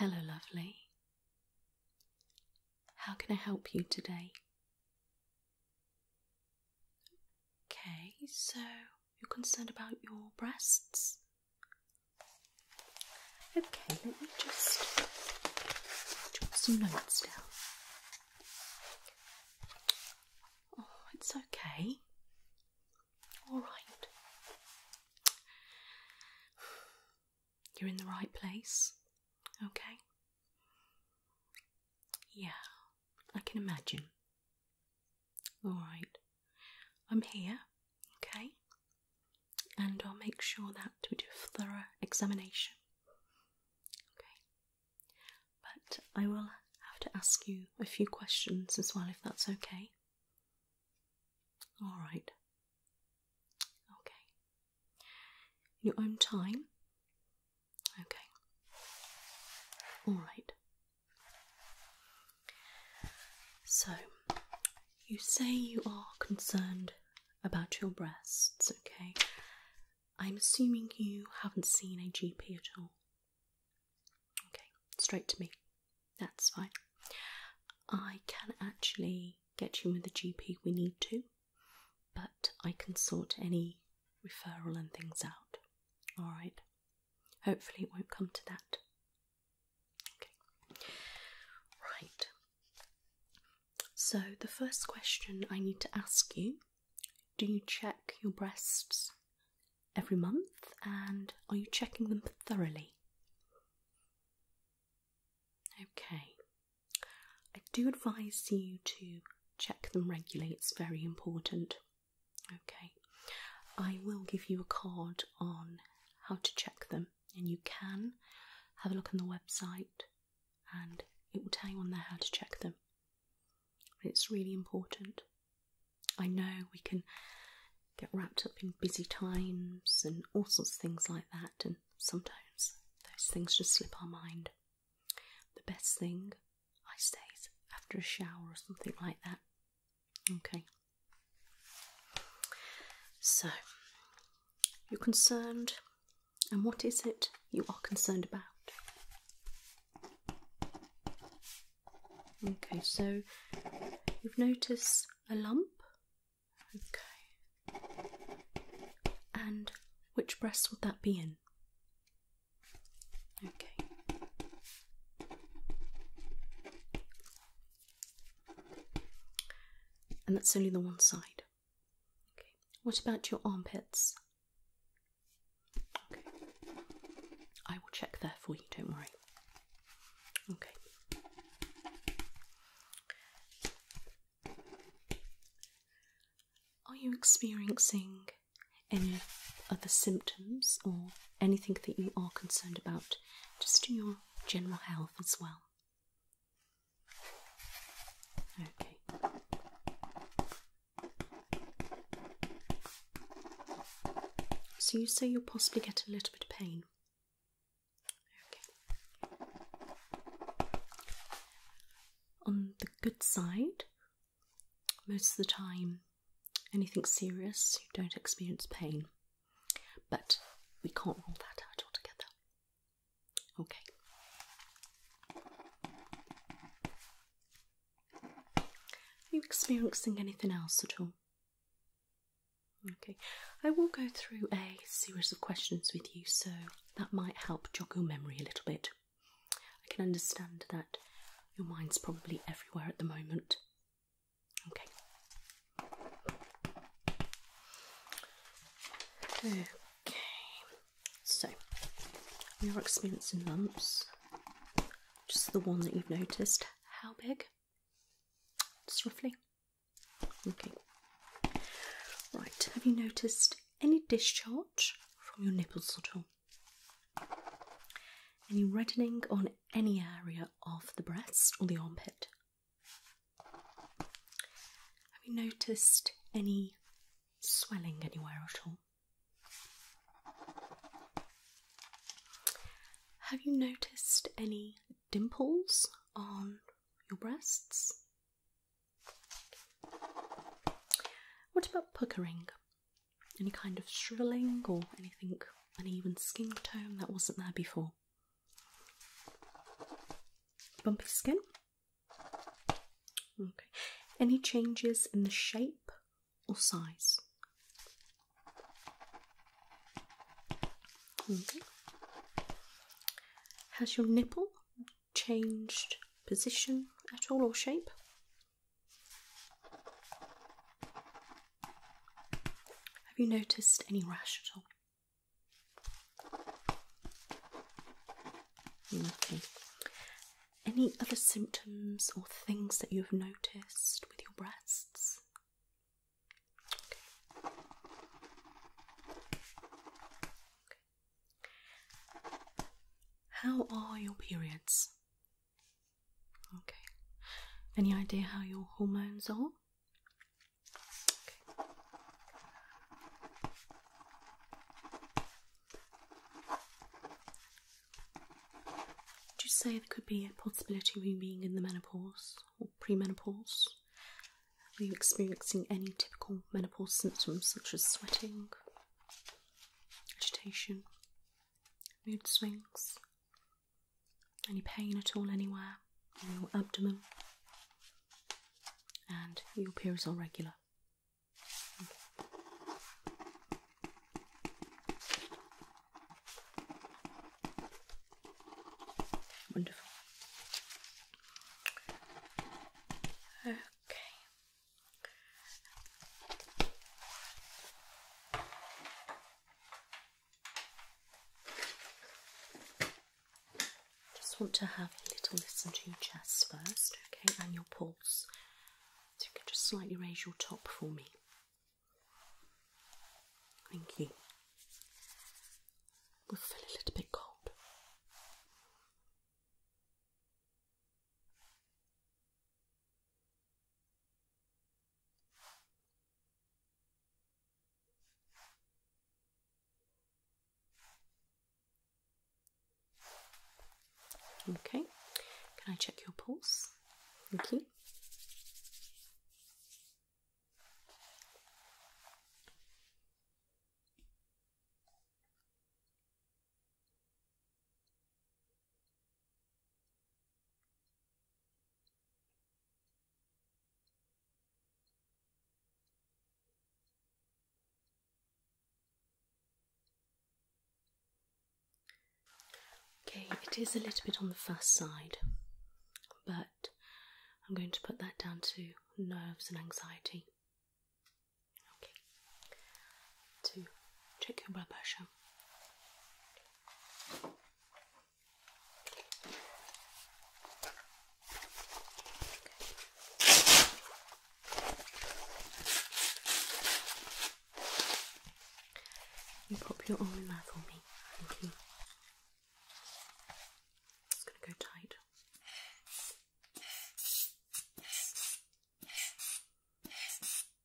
Hello, lovely. How can I help you today? Okay, so you're concerned about your breasts? Okay, let me just jot some notes down. Oh, it's okay. All right. You're in the right place, okay? Yeah, I can imagine. All right. I'm here, okay? And I'll make sure that we do a thorough examination. Okay. But I will have to ask you a few questions as well, if that's okay. Alright. Okay. your own time. Okay. Alright. So, you say you are concerned about your breasts, okay? I'm assuming you haven't seen a GP at all. Okay, straight to me. That's fine. I can actually get you with the GP we need to, but I can sort any referral and things out. Alright. Hopefully, it won't come to that. Right. So, the first question I need to ask you do you check your breasts every month and are you checking them thoroughly? Okay. I do advise you to check them regularly, it's very important. Okay. I will give you a card on how to check them, and you can have a look on the website and it will tell you on there how to check them. It's really important. I know we can get wrapped up in busy times and all sorts of things like that, and sometimes those things just slip our mind. The best thing, I say, is after a shower or something like that. Okay. So, you're concerned, and what is it you are concerned about? Okay, so you've noticed a lump. Okay. And which breast would that be in? Okay. And that's only the one side. Okay. What about your armpits? Okay. I will check there for you, don't worry. Okay. Are you experiencing any other symptoms or anything that you are concerned about, just your general health as well. Okay. So you say you'll possibly get a little bit of pain. Okay. On the good side, most of the time, anything serious, you don't experience pain. But we can't rule that out altogether. Okay. Are you experiencing anything else at all? Okay, I will go through a series of questions with you, so that might help jog your memory a little bit. I can understand that your mind's probably everywhere at the moment. Okay. Okay, so we are experiencing lumps. Just the one that you've noticed. How big? Just roughly. Okay. Right, have you noticed any discharge from your nipples at all? Any reddening on any area of the breast or the armpit. Have you noticed any swelling anywhere at all? Have you noticed any dimples on your breasts? What about puckering? any kind of shrilling or anything, uneven skin tone that wasn't there before. Bumpy skin. Okay. Any changes in the shape or size? Okay. Has your nipple changed position at all or shape? Have you noticed any rash at all? Okay. Any other symptoms or things that you have noticed with your breasts? How are your periods? Okay. Any idea how your hormones are? Okay. you say there could be a possibility of you being in the menopause or premenopause? Are you experiencing any typical menopause symptoms such as sweating, agitation, mood swings, any pain at all anywhere on your abdomen? And your appear as all regular. Wonderful. Okay. Just want to have a little listen to your chest first, okay, and your pulse. So you can just slightly raise your top for me. Thank you. We'll feel a little bit cold. Okay, can I check your pulse? Thank you. Okay, it is a little bit on the fast side, but I'm going to put that down to nerves and anxiety. Okay, to check your blood pressure. You pop your own mouth on me. It's going to go tight.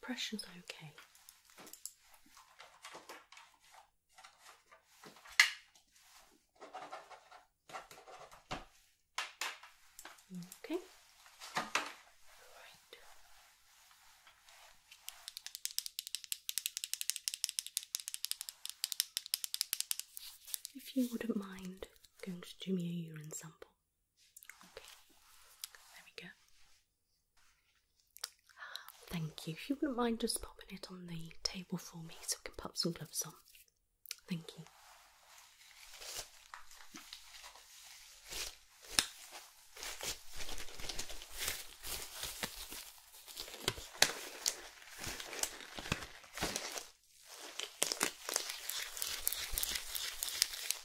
pressure's okay. Okay. Right. If you wouldn't mind going to do me a urine sample. Okay, there we go. thank you. If you wouldn't mind just popping it on the table for me so I can pop some gloves on. Thank you.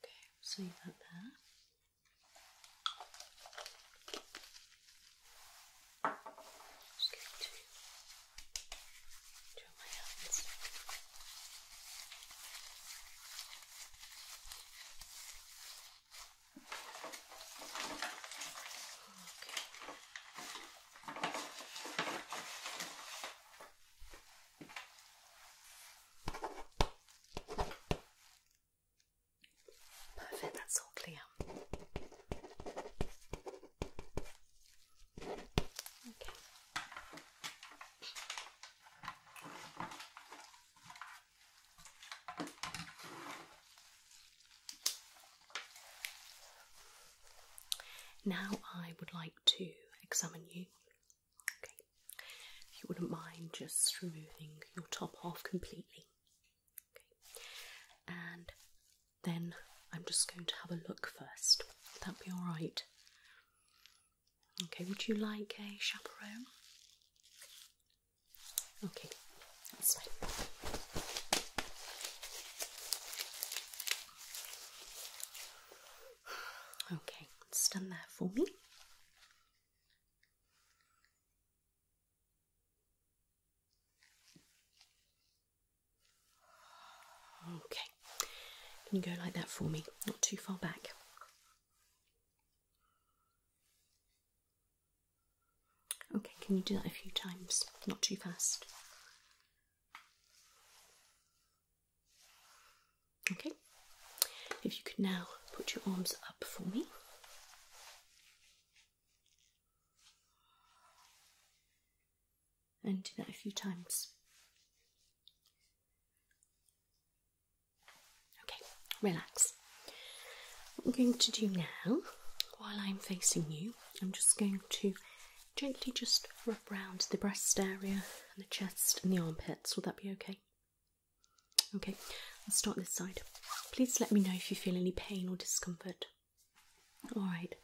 Okay, so you got that. Just get to draw my hands. Perfect, that's all clear. Okay. Now I would like to examine you if you wouldn't mind just removing your top off completely. And then I'm just going to have a look first. Would that be alright? Okay, would you like a chaperone? Okay, Okay, it's done there for me. Okay, can you go like that for me? Not too far back. Okay, can you do that a few times? Not too fast. Okay, if you could now put your arms up for me. And do that a few times. Okay, relax. What I'm going to do now, while I'm facing you, I'm just going to Gently just rub round the breast area and the chest and the armpits. Will that be okay? Okay, let's start this side. Please let me know if you feel any pain or discomfort. Alright.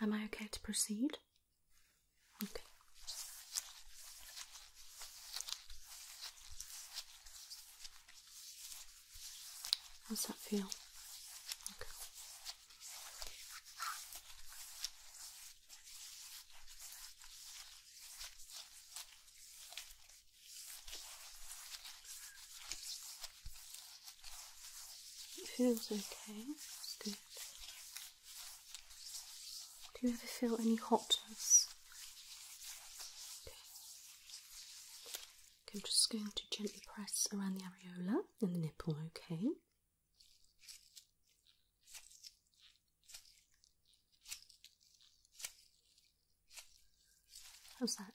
Am I okay to proceed? Okay. How's that feel? Okay. It feels okay, that's good. Do you ever feel any hotness? okay. I'm just going to gently press around the areola and the nipple, okay? How's that? Okay.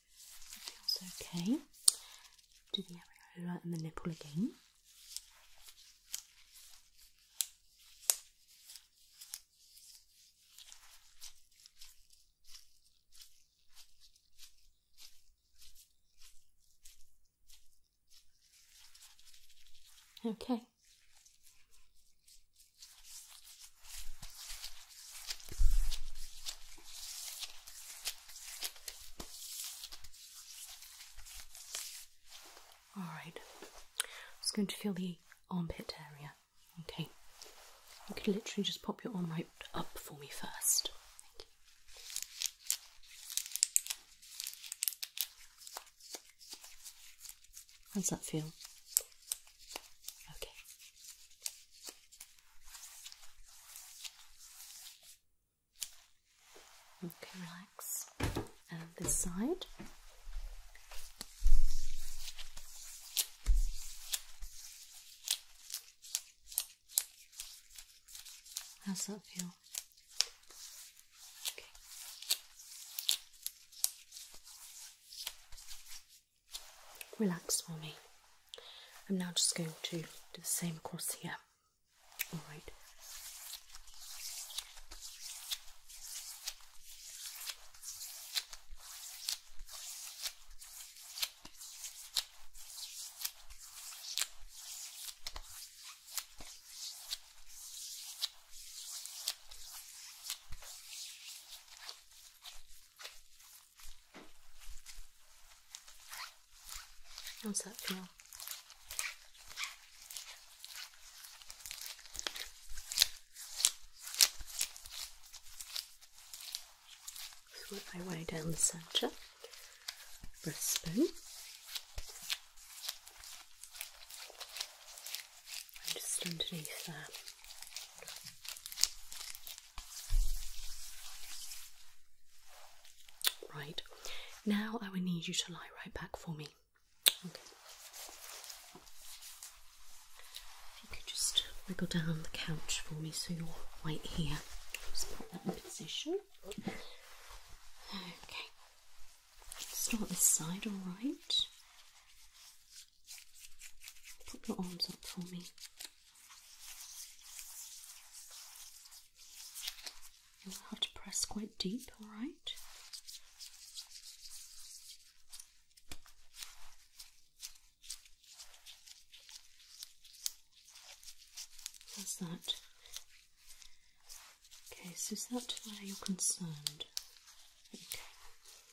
That feels okay. Do the areola and the nipple again. Okay. All right, I'm just going to feel the armpit area. Okay, you could literally just pop your arm right up for me first. How's that feel? Okay. Okay, relax. And this side. How's that feel? Okay relax for me. I'm now just going to do the same across here. Alright. How's that feel? Work my way down the centre. Breastbone and just underneath there. Right, now I will need you to lie right back for me. Okay. If you could just wiggle down the couch for me so you're right here. Just put that in position. Okay. Start this side, alright? Put your arms up for me. You'll have to press quite deep, alright? That's that. Okay, so is that where you're concerned? Okay.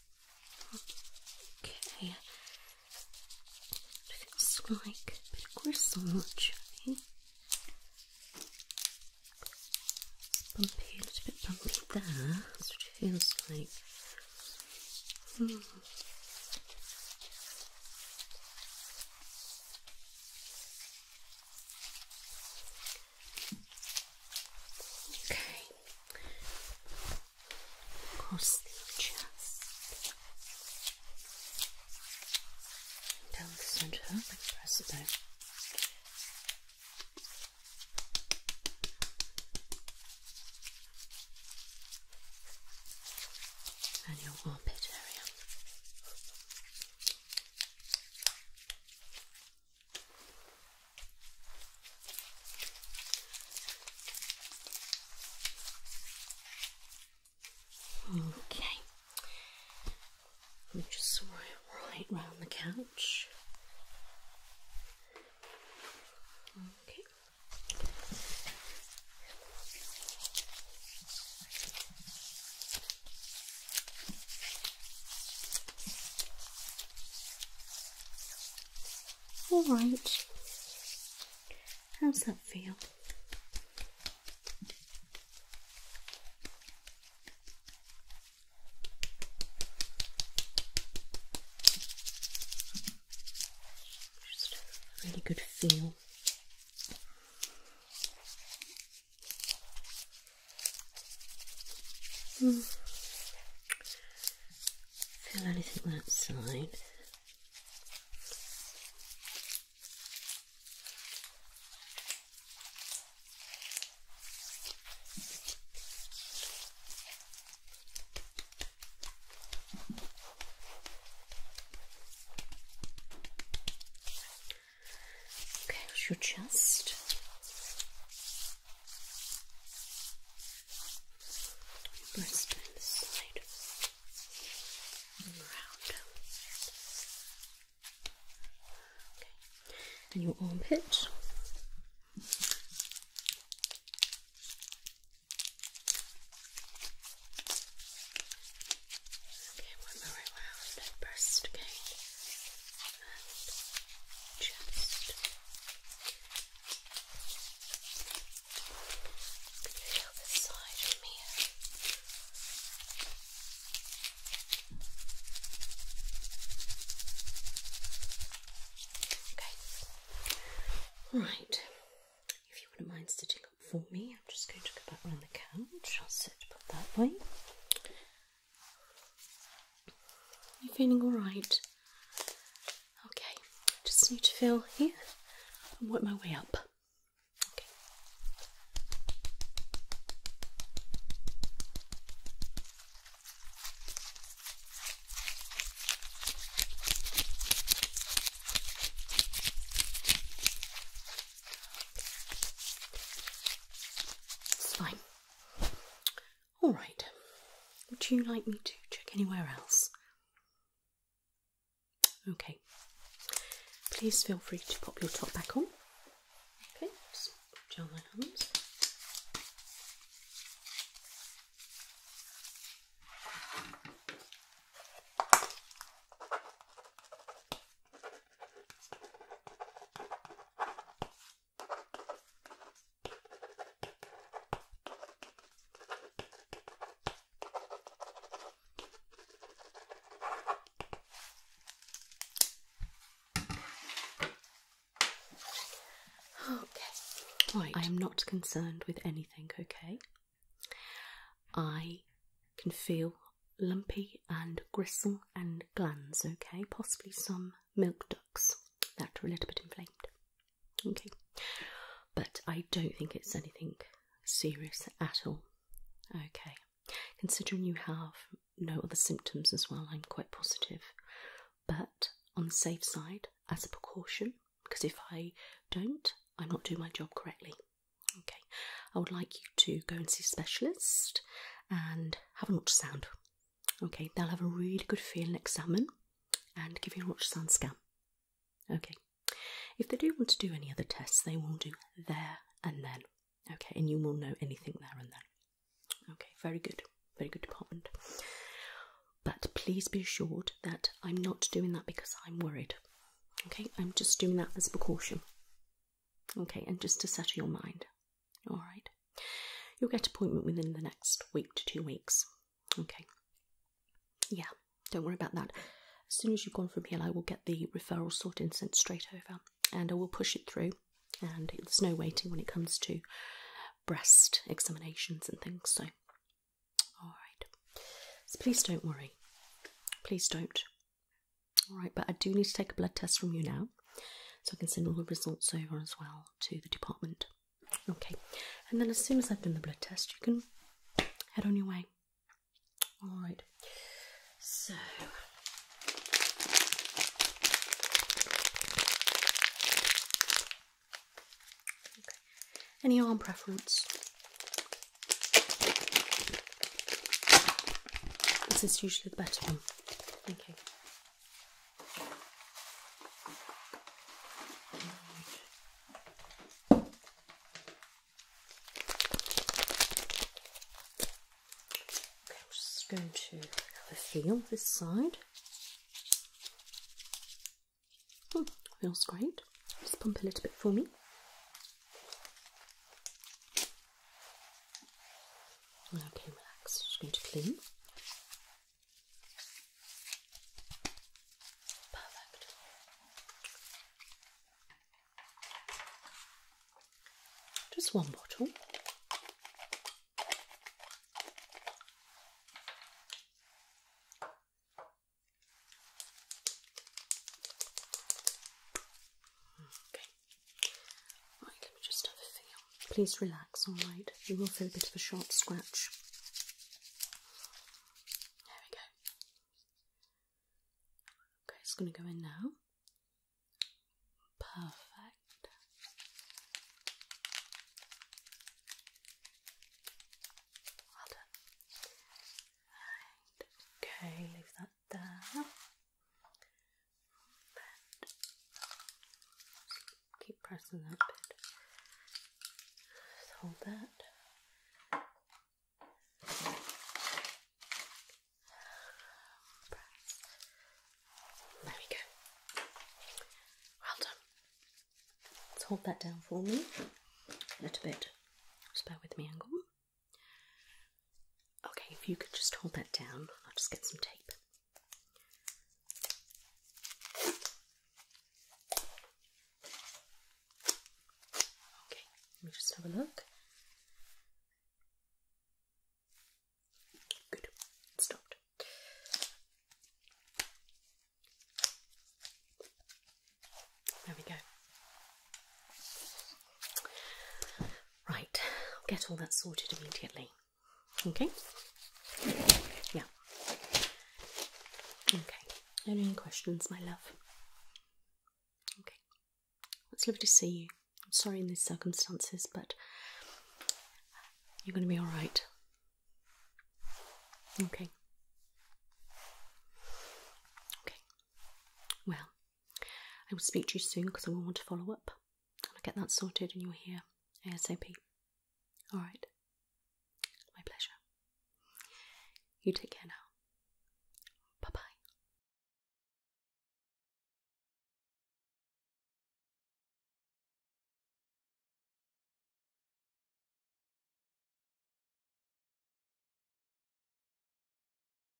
Okay. Feels like a bit of gristle, actually. bumpy, a little bit bumpy there. That's what it feels like. Hmm. Okay across the chest, down the centre like the rest And your armpit area. Okay. We just swirl right round the couch. Okay. All right. How's that feel? really good feel. Hmm feel anything that side. Okay, your chest. Let's around. Okay. And your armpit. Okay, one more around and breast again. And chest. Okay. Right. If you wouldn't mind sitting up for me, I'm just going to go back around the couch. I'll sit put that way. You're feeling alright? Okay, just need to feel here and work my way up. It's fine. All right. Would you like me to check anywhere else? Okay. Please feel free to pop your top back on. Okay, just my hands. Okay. Right. I am not concerned with anything, okay? I can feel lumpy and gristle and glands, okay? Possibly some milk ducts that are a little bit inflamed. Okay, but I don't think it's anything serious at all. Okay, considering you have no other symptoms as well, I'm quite positive. But on the safe side, as a precaution, because if I don't, I'm not doing my job correctly. Okay, I would like you to go and see a specialist and have an ultrasound. Okay, they'll have a really good feel and examine and give you a an ultrasound scan. Okay, if they do want to do any other tests, they will do there and then. Okay, and you will know anything there and then. Okay, very good, very good department. But please be assured that I'm not doing that because I'm worried. Okay, I'm just doing that as a precaution. Okay, and just to settle your mind. All right. You'll get appointment within the next week to two weeks. Okay. Yeah, don't worry about that. As soon as you've gone from here, I will get the referral sorted and sent straight over, and I will push it through. And there's no waiting when it comes to breast examinations and things. So, all right. So please don't worry. Please don't. All right, but I do need to take a blood test from you now so I can send all the results over as well to the department. Okay, and then as soon as I've done the blood test, you can head on your way. All right, so. Any arm preference? This is usually the better one. Okay. I'm just going to have a feel this side. Hmm, feels great. Just pump a little bit for me. Okay, relax. Just going to clean. Perfect. Just one bottle. Okay. Please relax, alright? You will feel a bit of a sharp scratch. There we go. Okay, it's going to go in now. Perfect. Well done. okay, leave that there keep pressing that bit. Just hold that. There we go. Well done. Let's hold that down for me a little bit. Just bear with me, Angle. Okay, if you could just hold that down, I'll just get some tape. Okay, let me just have a look. Good, stopped. There we go. Right, I'll get all that sorted immediately. Okay? Yeah. Okay. Any questions, my love? Okay. It's lovely to see you. I'm sorry in these circumstances, but you're going to be alright. Okay. Okay. Well, I will speak to you soon because I want to follow up. I'll get that sorted and you'll hear ASAP. Alright. My pleasure. You take care now. Bye bye.